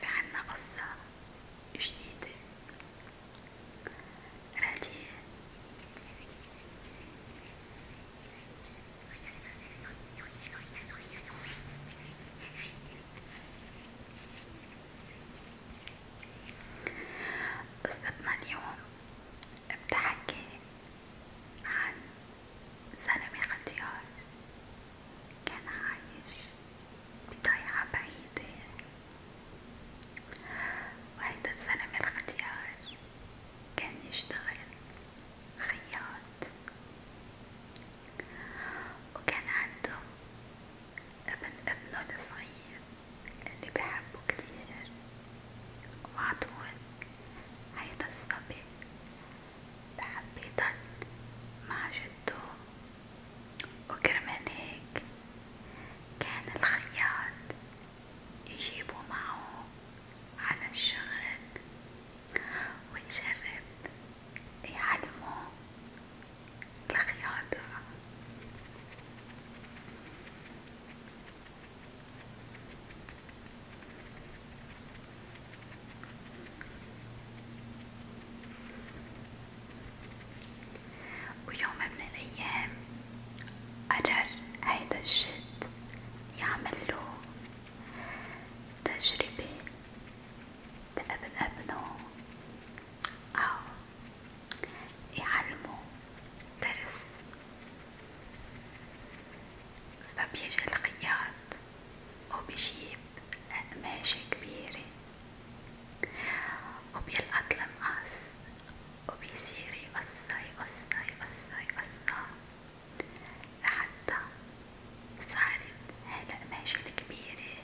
في عنا قصة جديدة رديء قصتنا اليوم بتحكي عن زلمة ختيار كان عايش بضيعة بعيدة وهيدا الزلمة الختيار كان يشتغل خياط وكان عنده ابن ابنه الصغير اللي بحبه كتير وعطول هيدا الصبي بحب يضل مع جدو وكرمال هيك كان الخياط يجيبه معه على الشغل ويجرب يعلمه الخياطة ويوم من الأيام قرر هيدا الجد يعمله تجربة لابن ابنه أو آه، يعلمه درس فبيجي الخياط وبيجيب قماشة كبيرة وبيلقط المقص وبيصير يقصها يقصها يقصها يقصها لحتى صارت هالقماشة الكبيرة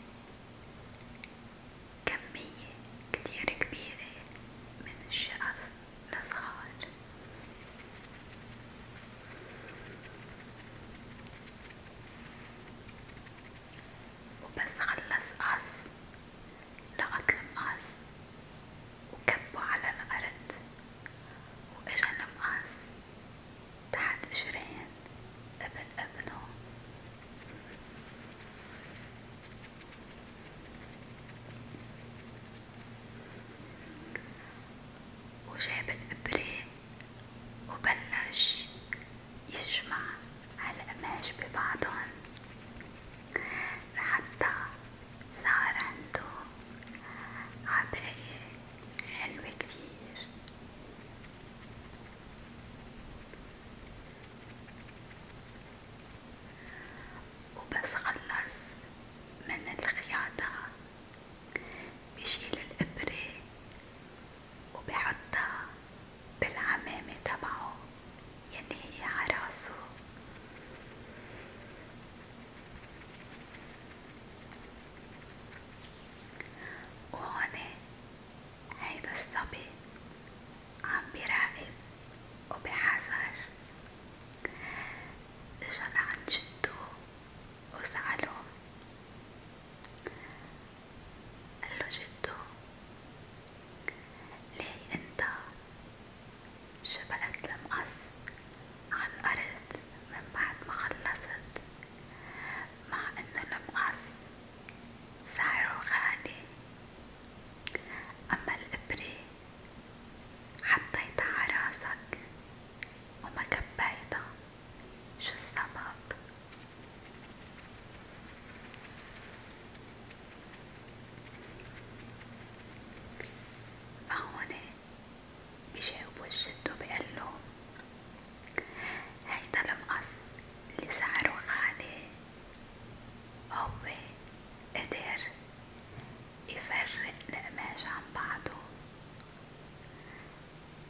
كمية كتير كبيرة من الشقف الصغار وبس خلص قص لقط المقص وكبه على الأرض وإجا المقص تحت إجرين ابن ابنه وجاب الإبرة وبلش يجمع هالقماش ببعضهن لحتى صار عنده عباية حلوة كتير وبس خلص من الخياطة بشيل الإبرة وبحطها بالعمامة تبعه يلي يعني هي عراسه وهون هيدا الصبي عم براقب وبحذر اجا لعند جدو وسأله قال له جدو ليه انت شبقت المقص عن أرض من بعد ما خلصت مع انه المقص سعره غالي اما الابرة حطيتها على راسك وما كبيتها شو السبب فهون بجاوبو الجد وبقلو هيدا المقص اللي سعره غالي هو قدر يفرق القماش عن بعضه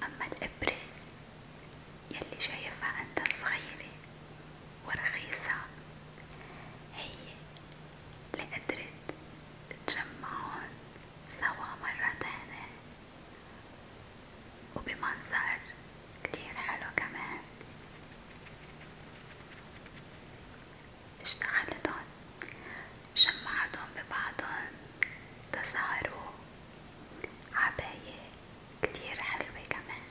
أما الإبرة يلي شايفها أنت صغيرة ورخيصة هي اللي قدرت تجمعهم سوا مرة تانية وبمنظر كتير حلو كمان اشتغلتن جمعتن ببعضن تسهروا عباية كتير حلوة كمان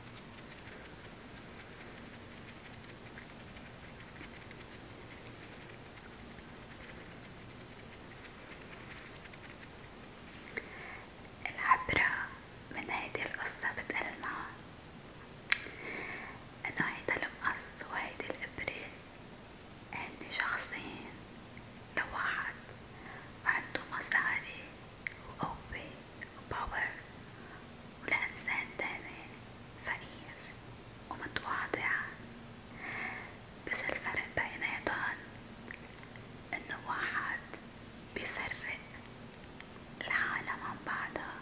العبرة من هيدي القصة بتقل معها انه هيدا المقص وهيدي الابرة هن شخصين لواحد عنده مصاري وقوة وباور ولإنسان تاني فقير ومتواضع بس الفرق بيناتهم انه واحد بيفرق العالم عن بعضها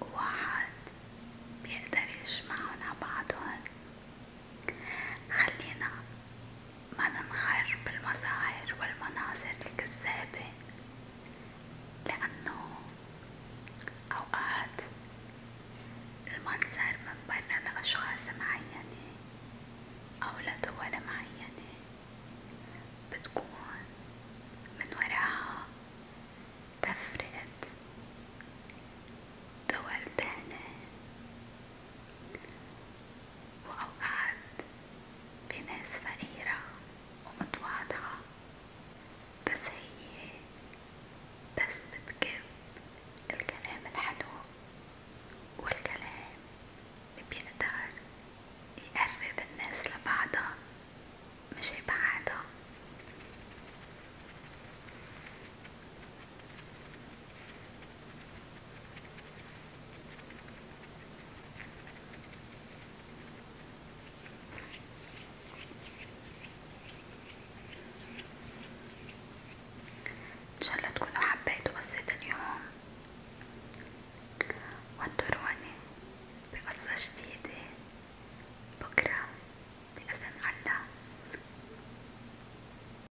وواحد بيقدر يجمعن عن بعضهن خلينا ما ننغر بالمظاهر والمناظر الكذابة لأنه أوقات المنظر من برا لأشخاص معينة أو لدول معينة بتكون من وراها تفرقة دول تانية وأوقات بناس فقيرة ومتواضعة بس هي بس بتجيب الكلام الحلو والكلام اللي بيقدر يقرب الناس لبعضها مش يبعدها ان شاء الله تكونوا حبيتوا قصة اليوم وانطروني بقصة جديدة بكرة بإذن الله